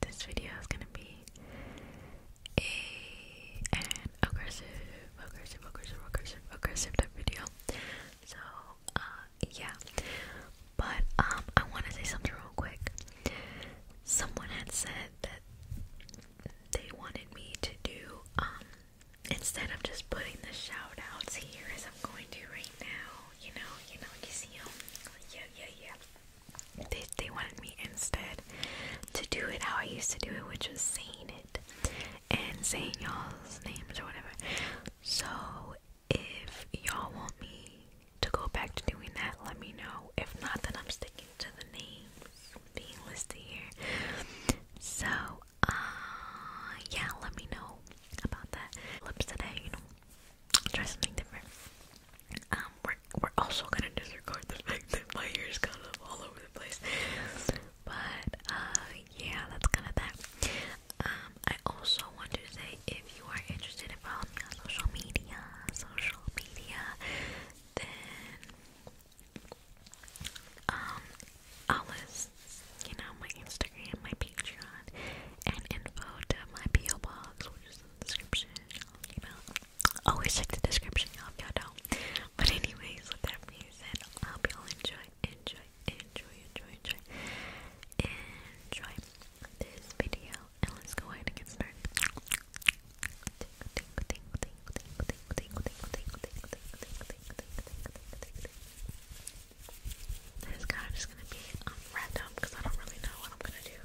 this video is gonna be a aggressive, aggressive, aggressive, aggressive, aggressive type video. So, uh, yeah. But um, I want to say something real quick. Someone had said that they wanted me to do um instead of just putting the shout outs here as I'm going to right now. You know, you know, you see them. Yeah, yeah, yeah they, they wanted me instead to do it how I used to do it, which was saying it and saying y'all's names or whatever. So if y'all want me to go back to doing that, let me know. If not, then I'm sticking to the names being listed here. So, uh, yeah, let me know about that. Lips today, you know, try something different. Um, we're we're also gonna disregard the fact that my hair's kind of all over the place. But uh, yeah, that's kind of that. Um, I also want to say if you are interested in following me on social media, social media, then um, I'll list, you know, my Instagram, my Patreon, and info to my PO box, which is in the description you know, always check the description, y'all, if y'all don't. But anyways, with that being said, I hope y'all enjoy, enjoy, enjoy, enjoy, enjoy, enjoy this video, and let's go ahead and get started. This is kind of just gonna be um, random because I don't really know what I'm gonna do.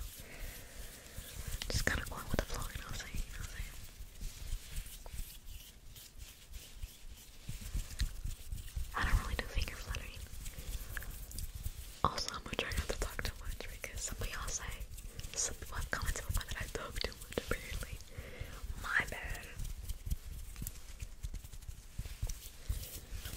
Just kind of going with the flow, you I'm saying? i don't really do finger fluttering. Also, I'm gonna try not to talk too much because some of you say, some people have comments about that I talk too much, apparently. My bad.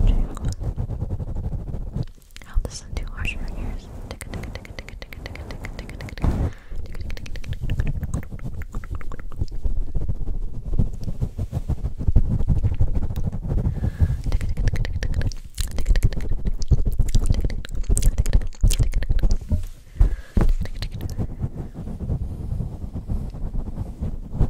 I hope this isn't too harsh for your ears.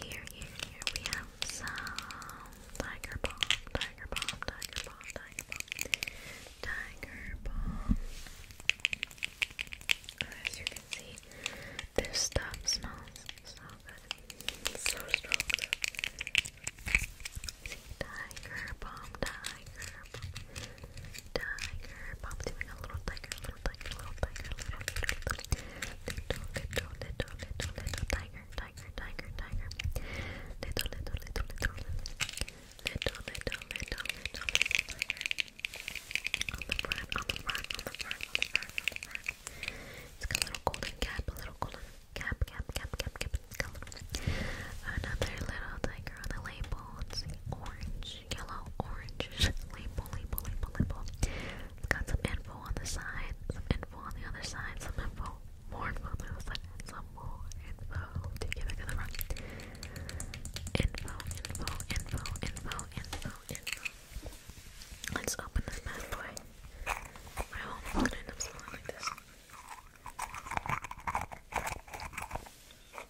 Here, here, here we have some tiger bomb, tiger bomb, tiger bomb, tiger bomb, As you can see, this stuff smells so good, so strong. See, tiger bomb, tiger bomb, tiger. Pop's a little tiger, little tiger, little tiger, little, little, little, little, little, little, little tiger, tiger, tiger, tiger. Little, little, little, little, little, little, little, little, On the front, on the front, on the front, on the front, on a little golden cap, a little golden cap, cap, cap, cap, cap. another little tiger on the label. It's orange yellow, orange label, label, label, label. It's got some info on the side, some info on the other side, some info, more info on the side, some more info to give it to the front. Info, info, info, info, info, info. Let's open this bad boy. I hope it's gonna end up smelling like this.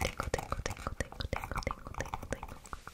Tengo, tengo, tengo, tengo, tengo, tengo, tengo, tengo.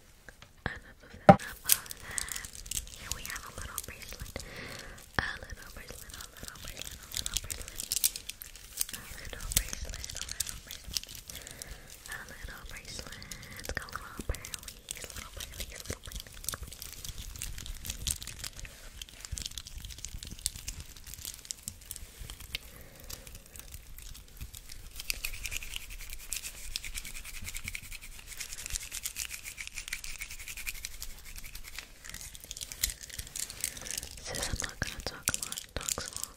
Enough of we have a little bracelet. A little bracelet, a little bracelet, a little bracelet. A little bracelet, a little bracelet. A little bracelet. It's got little pearlies, little pearlies, Says I'm not gonna talk a lot, talk so long.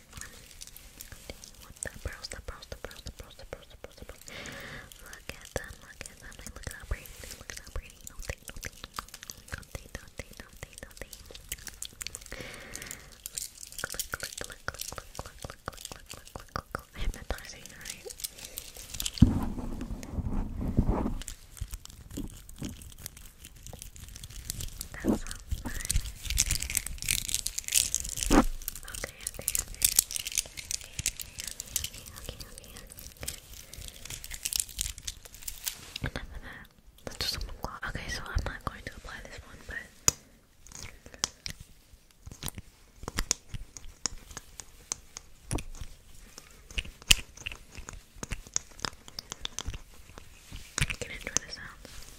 What the brows, the brows, the brows, the brows, the brows, the brows, the brows. Look at them, look at them. Like, look at how pretty they look at how pretty. No, they, no, they. No, they, no, they, no, they, no, they. Click, click, click, click, click, click, click, click, click, click, click, click, click. Hypnotizing, right? Look at that sounds nice. Okay, okay, okay. Okay, okay, okay, okay, okay, okay, okay, okay, okay, okay, okay, okay, okay,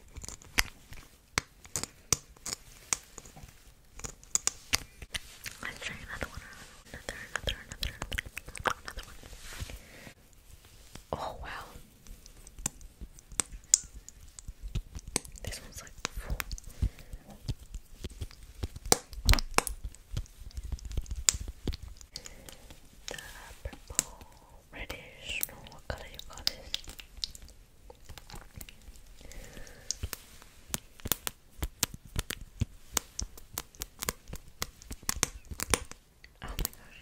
Let's try another one. Another, another, another, another, another one. Oh wow. This one's like The purple reddish. No, what color you got this? Oh my gosh.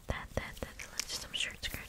that, that, that, Let's just, I'm sure it's scratching.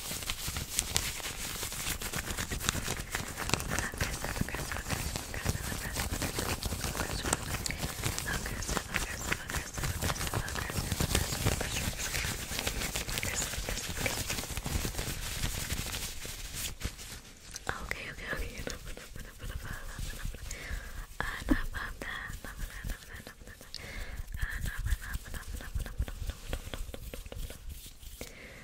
Okay, okay, okay. Enough, enough, enough, enough, enough, enough, enough. Enough of that. Enough of that. Enough of that. Enough of that. Enough, enough, enough, enough, enough, enough, enough, enough, enough, enough, enough.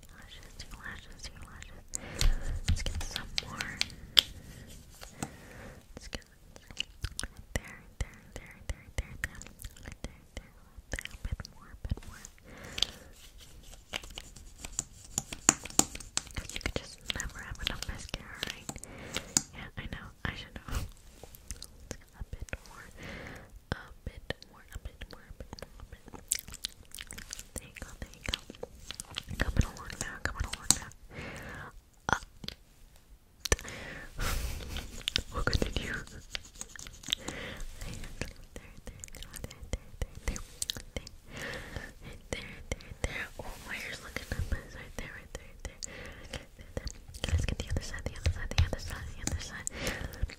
your lashes, your lashes, your lashes. Let's get some more. Let's get right there, right there, right there, right there, right there, right there, right there, right there, right there, a bit more, a bit more. You could just never have enough mascara, right? Yeah, I know. I should know. Let's get a bit more, a bit bit more, a bit more, a bit more, a bit more. There you go, there you go. Coming along now, coming along now. Uh, we'll continue. There, there, there, there, there, there, there, there, there, there. Oh, my hair's looking up. It's right there, right there, right there. Okay, there, there. Let's get the other side, the other side, the other side, the other side.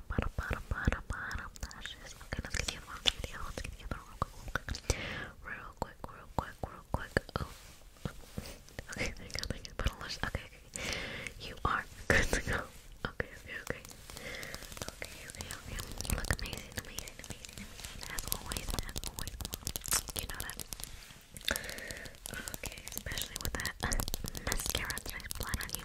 bottom, Okay, okay, there you go. Okay, you are good to go. Okay, okay, okay, okay, okay, look amazing, amazing, amazing, As always, as always. You know that. Okay, especially with that mascara that I on you.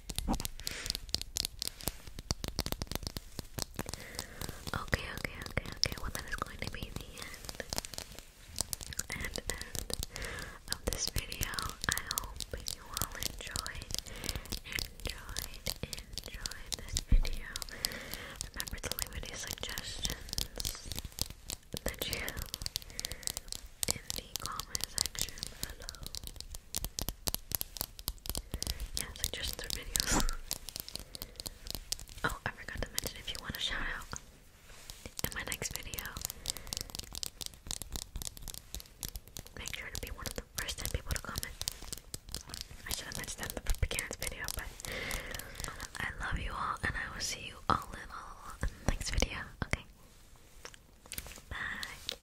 Okay, okay, okay, okay. Well, that is going to be the end, and end of this video. I hope you all enjoyed, enjoyed, enjoyed this video. Remember to leave any suggestions that you in the comment section below. Yeah, suggest their videos. oh, I forgot to mention if you want a shout in my next video. Make sure to be one of the first 10 people to comment. I should have mentioned that in the beginning's video, but I love you all, and I will see you all in all the next video. Okay, bye.